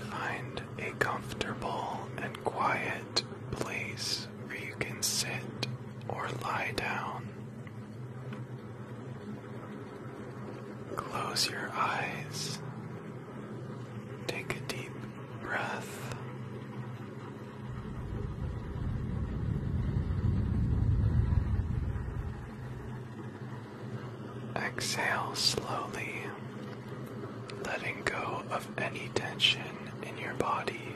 Find a comfortable and quiet place where you can sit or lie down. Close your eyes Take a deep breath. Exhale slowly, letting go of any tension in your body.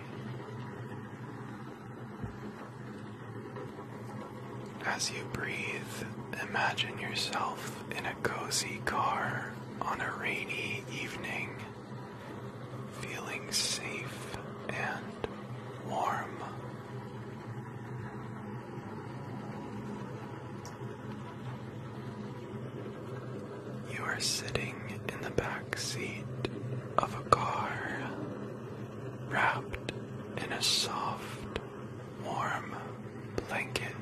As you breathe, imagine yourself in a cozy car on a rainy evening, feeling safe and warm. You are sitting in the back seat of a car, wrapped in a soft, warm blanket.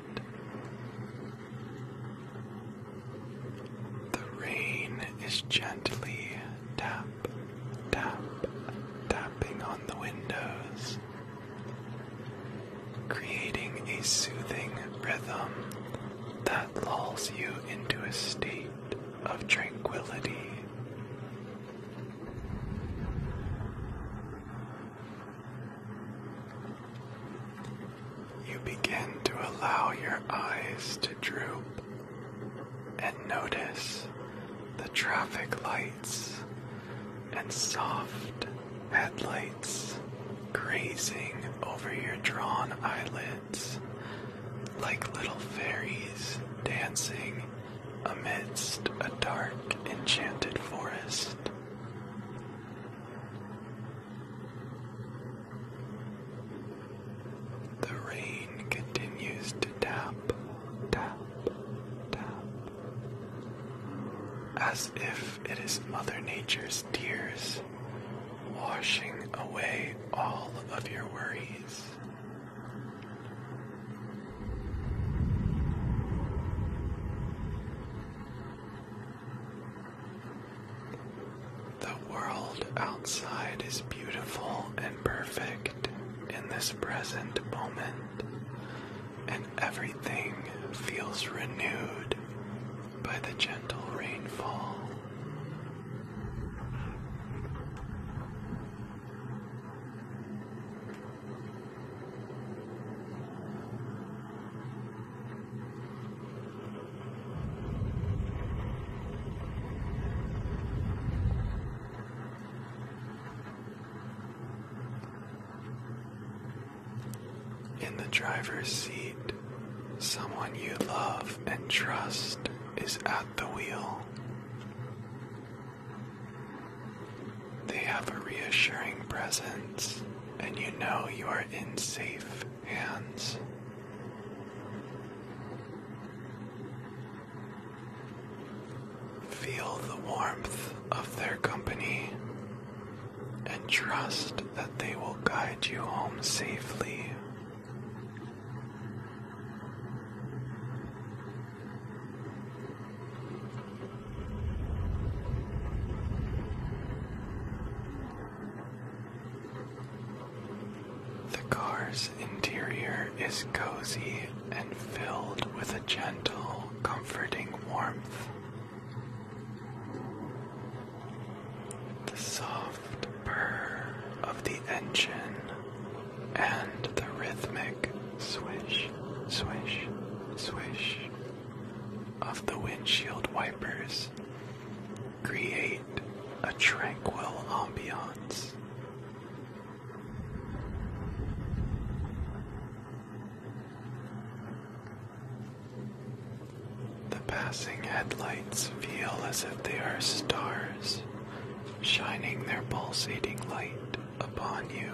The rain is gently tap, tap, tapping on the windows, creating a soothing rhythm that lulls you into a state of tranquility. You begin to allow your eyes to droop and notice the traffic lights and soft headlights grazing over your drawn eyelids like little fairies dancing amidst a dark, enchanted forest. The rain continues to tap, tap, tap, as if it is Mother Nature's tears washing away all of your worries. The world outside is beautiful and perfect in this present moment, and everything feels renewed by the gentle rainfall. In the driver's seat, someone you love and trust is at the wheel. They have a reassuring presence, and you know you are in safe hands. Feel the warmth of their company and trust that they will guide you home safely. The car's interior is cozy and filled with a gentle, comforting warmth. The soft purr of the engine and the rhythmic swish, swish, swish of the windshield wipers create a tranquil ambiance. The passing headlights feel as if they are stars shining their pulsating light upon you.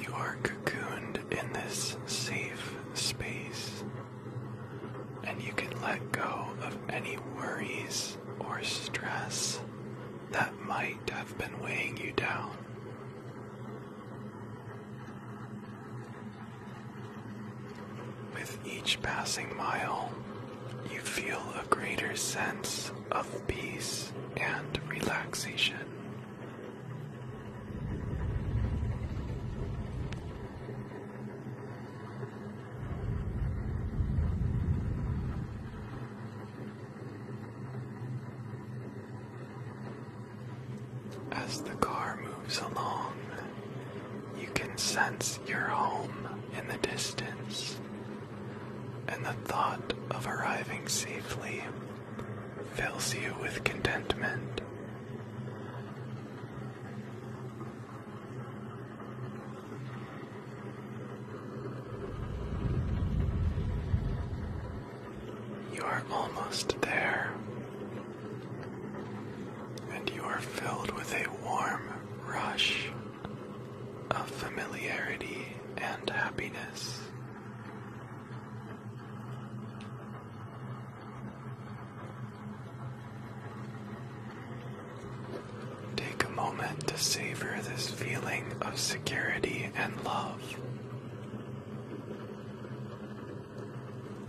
You are cocooned in this safe space, and you can let go of any worries or stress that might have been weighing you down. With each passing mile, you feel a greater sense of peace and relaxation. As the car moves along, you can sense your home in the distance, and the thought of arriving safely fills you with contentment. You are almost there, and you are filled with a warm rush of familiarity and happiness. Take a moment to savor this feeling of security and love.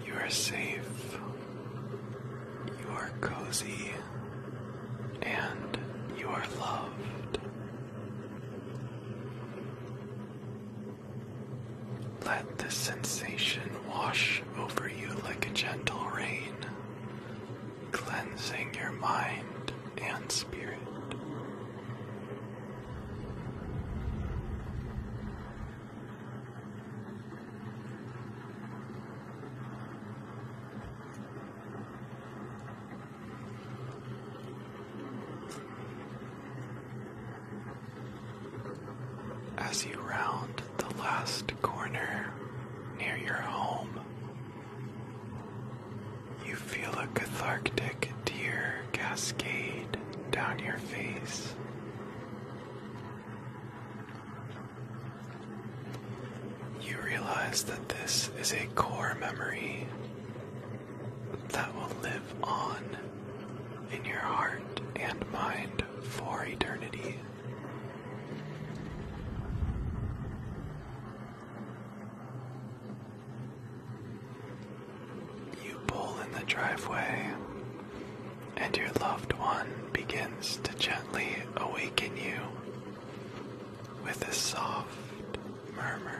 You are safe, you are cozy, and you are loved. Let this sensation wash over you like a gentle rain, cleansing your mind and spirit. As you round the last corner near your home, you feel a cathartic tear cascade down your face. You realize that this is a core memory that will live on in your heart and mind for eternity. You pull in the driveway, and your loved one begins to gently awaken you with a soft murmur.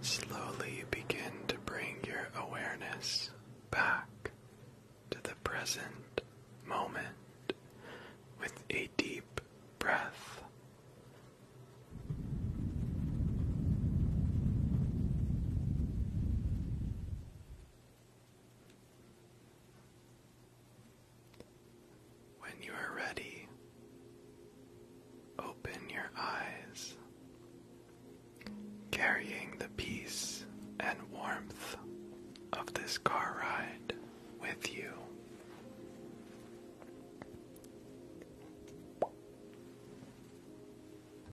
Slowly you begin to bring your awareness back to the present moment with a deep breath. When you are ready, open your eyes, carrying the peace and warmth of this car ride with you.